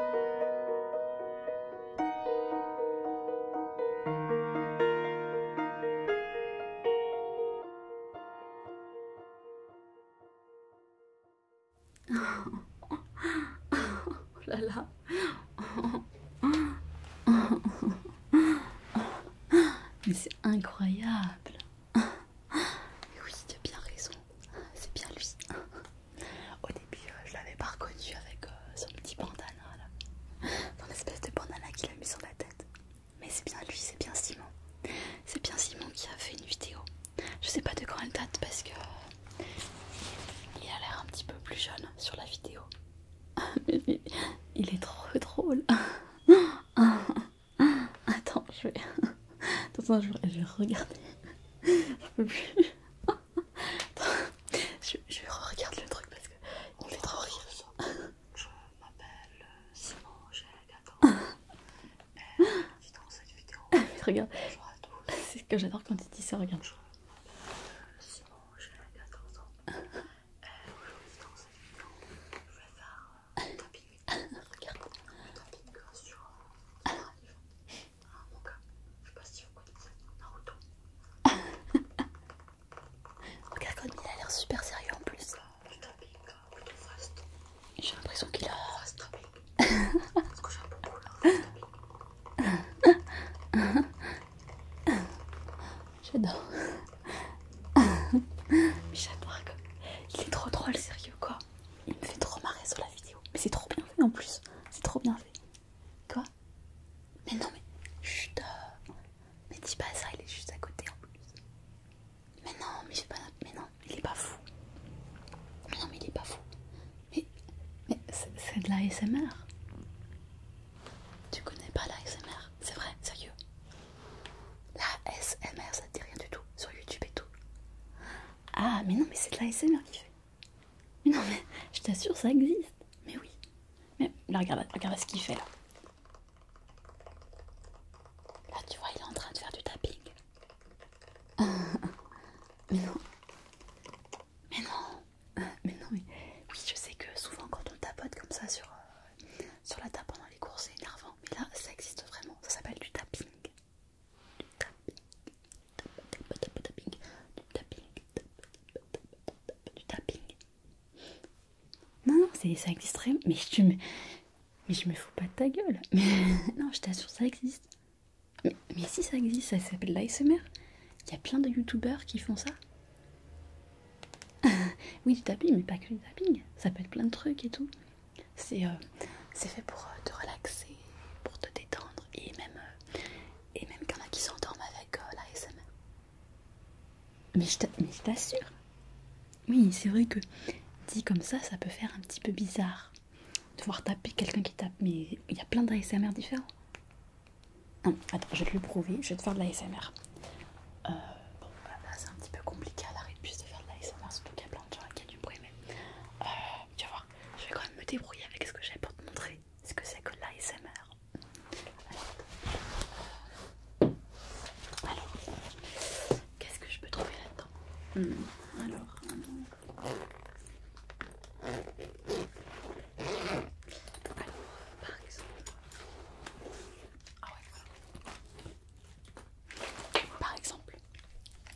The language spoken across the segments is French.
Oh là là. Mais c'est incroyable. oui, tu as bien raison c'est bien lui. Au début, euh, je l'avais pas reconnu avec euh, son petit bandana là, son espèce de bandana qu'il a mis sur la tête. Mais c'est bien lui, c'est bien Simon. C'est bien Simon qui a fait une vidéo. Je sais pas de quand elle date parce que euh, il a l'air un petit peu plus jeune sur la vidéo. Mais il est trop drôle. Attends, je vais. Attends, je vais regarder. peux plus je, je regarde le truc parce que il me fait trop rire. Je m'appelle euh, Simon, j'ai 14 Je dans cette vidéo. regarde, c'est ce que j'adore quand tu dis ça. Regarde. Je m'appelle euh, Simon, j'ai 14 ans et eh, aujourd'hui dans cette vidéo, je vais faire euh, un tapping. regarde, un tapping sur un live. Ah, mon gars, Je sais pas si vous connaissez Naruto. Regarde comme il a l'air super sérieux en plus. J'ai l'impression qu'il a. Parce que j'aime beaucoup là. J'adore. J'adore. Il est trop drôle, sérieux quoi. Il me fait trop marrer sur la vidéo. Mais c'est trop bien fait en plus. C'est trop bien fait. Quoi Mais non, mais. Chut euh, Mais dis pas ça, il est juste à côté en plus. Mais non, mais j'ai pas. Mais non, il est pas fou. Mais non, mais il est pas fou. Mais. Mais c'est de la SMR. Tu connais pas la C'est vrai, sérieux. La SMR, ça te dit rien du tout sur YouTube et tout. Ah, mais non, mais c'est de l'ASMR qui fait. Mais non, mais je t'assure, ça existe. Mais oui. Mais regarde, regarde ce qu'il fait là. Là, tu vois, il est en train de faire du tapping. mais non. Mais non. Mais non, mais oui, je sais que souvent quand on tapote comme ça sur, euh, sur la table pendant les cours, c'est énervant. Mais là, ça existe vraiment. Ça s'appelle du tapping tapping, du tapping. Non, non, ça existe Mais je me, mais je me fous pas de ta gueule. Mais, non, je t'assure, ça existe. Mais, si ça existe, ça s'appelle l'ASMR. Il y a plein de Youtubers qui font ça. oui, du tapping, mais pas que du tapping. Ça peut être plein de trucs et tout. Euh, c'est fait pour euh, te relaxer, pour te détendre et même, euh, et même qu'il y en a qui s'endorment avec l'ASMR la Mais je t'assure, oui, c'est vrai que dit comme ça, ça peut faire un petit peu bizarre de voir taper quelqu'un qui tape, mais il y a plein d'ASMR différents. attends, je vais te le prouver, je vais te faire de l'ASMR. bon, bah, là, c'est un petit peu compliqué à l'arrêt de de faire de l'ASMR, surtout qu'il y a plein de gens qui ont du bruit, euh, tu tu vois, je vais quand même me débrouiller avec ce que j'ai pour te montrer ce que c'est que l'ASMR. Alors, qu'est-ce que je peux trouver là-dedans hmm, alors, alors, par exemple, ah ouais, voilà. Par exemple,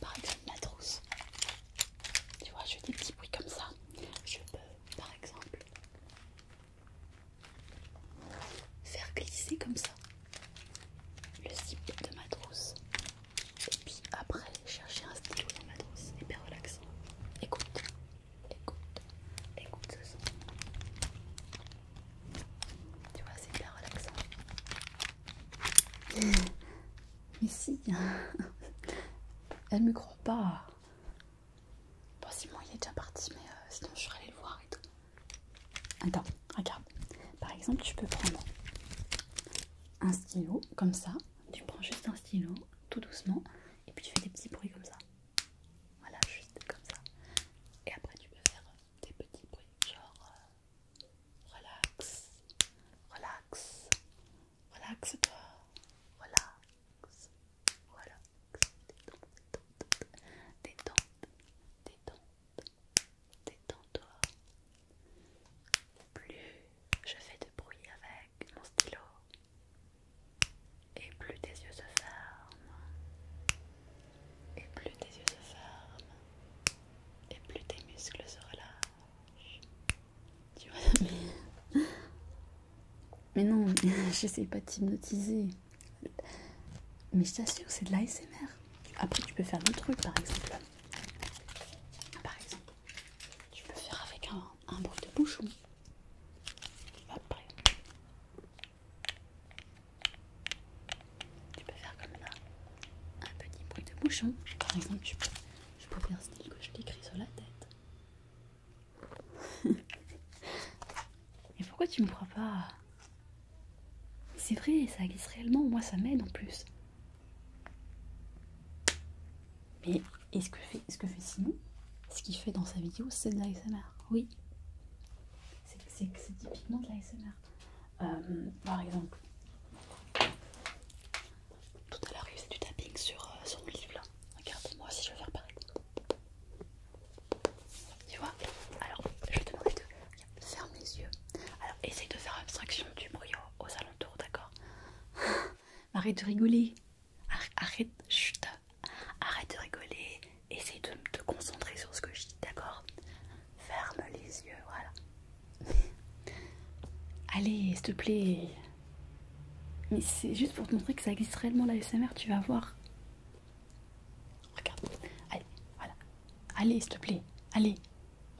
par exemple ma trousse. Tu vois, je fais des petits bruits comme ça. Je peux, par exemple, faire glisser comme ça le zip de ma trousse. Et puis après, chercher un stylo dans ma trousse. Hyper relaxant. Écoute, écoute, écoute ce son. Tu vois, c'est hyper relaxant. Mais si, elle me croit pas. Bon, il est déjà parti, mais euh, sinon je serais allée le voir et tout. Attends, regarde. Par exemple, tu peux prendre un stylo comme ça. Tu prends juste un stylo, tout doucement, et puis tu fais des petits bruits comme ça. Voilà, juste comme ça. Et après, tu peux faire des petits bruits, genre. Euh, Relax, relax, relaxe-toi, relax, relax, détente, détente, détente, détends-toi. Plus je fais de bruit avec mon stylo, et plus tes yeux se ferment, et plus tes yeux se ferment, et plus tes muscles se relâchent. Tu vois, mais. Mais non, j'essaie pas de t'hypnotiser. Mais je t'assure, c'est de l'ASMR. Après, tu peux faire d'autres trucs, par exemple. Par exemple, tu peux faire avec un, un bruit de bouchon. Après. Tu peux faire comme là, un petit bruit de bouchon. Par exemple, je peux, faire ce faire style que je t'écris sur la tête. Mais pourquoi tu me crois pas C'est vrai, ça glisse réellement. Moi, ça m'aide en plus. Mais est-ce que fait, ce que fait Simon ce qu'il fait dans sa vidéo, c'est de l'ASMR. Oui, c'est typiquement de l'ASMR. Euh, par exemple, tout à l'heure il faisait du tapping sur euh, sur livre là. Regarde, moi si je vais faire pareil. Tu vois Alors, je vais te demander de fermer les yeux. Alors, essaye de faire abstraction du bruit aux, aux alentours, d'accord Arrête de rigoler. Arrête, chut. Arrête de rigoler essaye de te concentrer sur ce que je dis, d'accord Ferme les yeux, voilà. Allez, s'il te plaît. Mais c'est juste pour te montrer que ça existe réellement la SMR, tu vas voir. Regarde. Allez, voilà. Allez, s'il te plaît. Allez.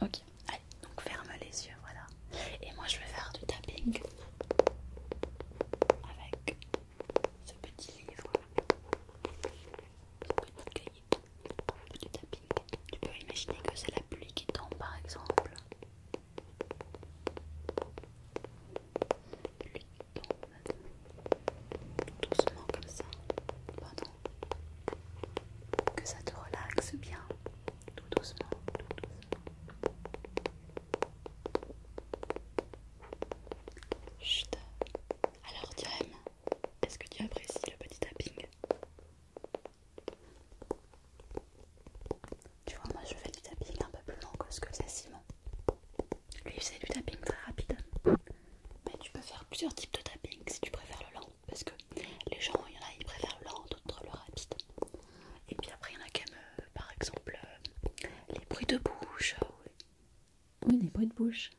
Ok. Allez, donc ferme les yeux, voilà. Et moi, je vais faire du tapping avec ce petit livre, tu peux imaginer que c'est la pluie qui tombe par exemple. Pluie qui tombe doucement comme ça. Pardon. Que ça te relaxe bien. Tout doucement. Tout doucement. Chut. Alors, Diane, est-ce que tu apprécies le petit tapping Tu vois, moi je fais du tapping un peu plus lent que ce que c'est Simon. Lui c'est du tapping très rapide. Mais tu peux faire plusieurs types de tapping si tu préfères le lent. Parce que les gens, il y en a, ils préfèrent le lent, d'autres le rapide. Et puis après, il y en a qui aiment, euh, par exemple, euh, les bruits de bouche. Euh, oui, les bruits de bouche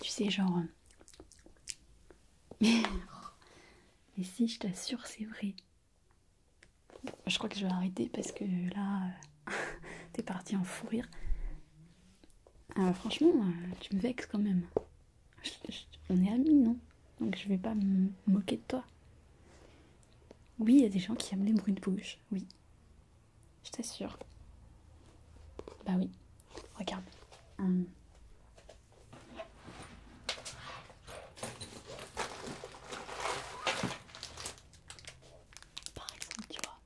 tu sais, genre. Euh, mais si, je t'assure, c'est vrai. Je crois que je vais arrêter parce que là, euh, t'es parti en fou rire. Euh, franchement, tu me vexes quand même. on est amis, non Donc je vais pas me moquer de toi. Oui, il y a des gens qui aiment les bruits de bouche, oui. Je t'assure. Bah oui. Regarde. Hum. Par exemple, tu vois.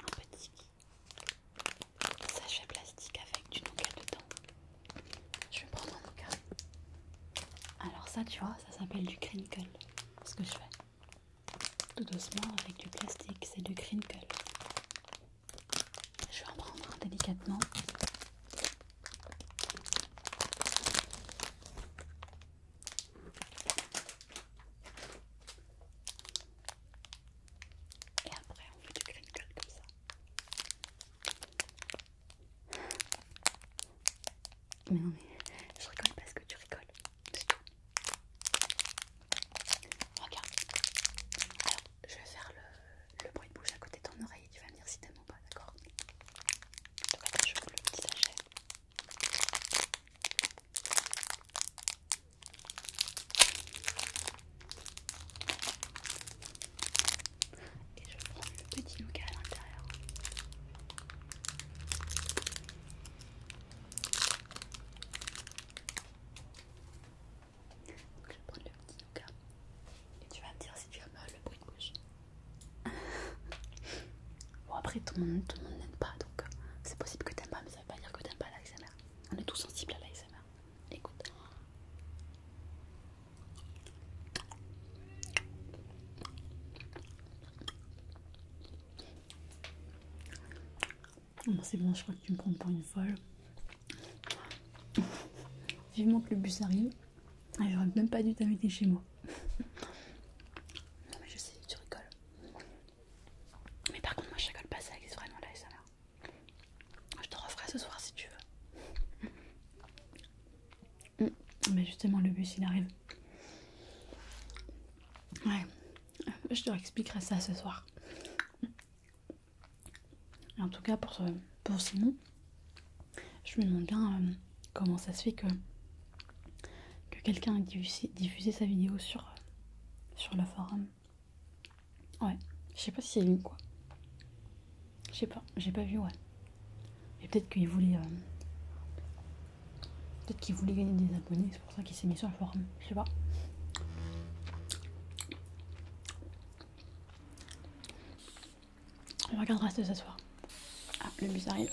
Un petit sachet plastique avec du nougat dedans. Je vais prendre un nougat. Alors ça, tu vois, ça s'appelle du crinkle ce que je fais. Tout doucement avec du plastique, c'est du crinkle. Je vais en prendre délicatement. Et après on fait du crinkle comme ça. Mais non, mais je rigole parce que tu rigoles. C'est tout. Regarde. Alors, je vais faire le, bruit de bouche à côté de ton oreille tu vas venir dire si t'aimes ou pas, d'accord Je te le petit sachet et je prends le petit nougat à l'intérieur. Je prends le petit nougat et tu vas me dire si tu aimes le bruit de bouche. bon, après, tout le monde, n'aime pas donc euh, c'est possible que tu t'aimes pas, mais ça veut pas dire que tu t'aimes pas l'ASMR. On est tous sensibles à l'ASMR. Écoute c'est bon, je crois que tu me prends pour une folle. Vivement que le bus arrive. Ah, j'aurais même pas dû t'inviter chez moi. non, mais je sais, tu rigoles. Mais par contre, moi je rigole pas, ça existe vraiment là, ça là. Je te referai ce soir si tu veux. Mm. Mais justement, le bus il arrive. Ouais, je te expliquerai ça ce soir. en tout cas, pour, pour Simon, je me demande bien euh, comment ça se fait que, que quelqu'un ait diffusé, sa vidéo sur, sur le forum. Ouais, je sais pas si c'est lui quoi. Je sais pas, j'ai pas vu, ouais. Et peut-être qu'il voulait. Euh, peut-être qu'il voulait gagner des abonnés, c'est pour ça qu'il s'est mis sur le forum. Je sais pas. On regardera reste ce soir. Ah, le bus arrive.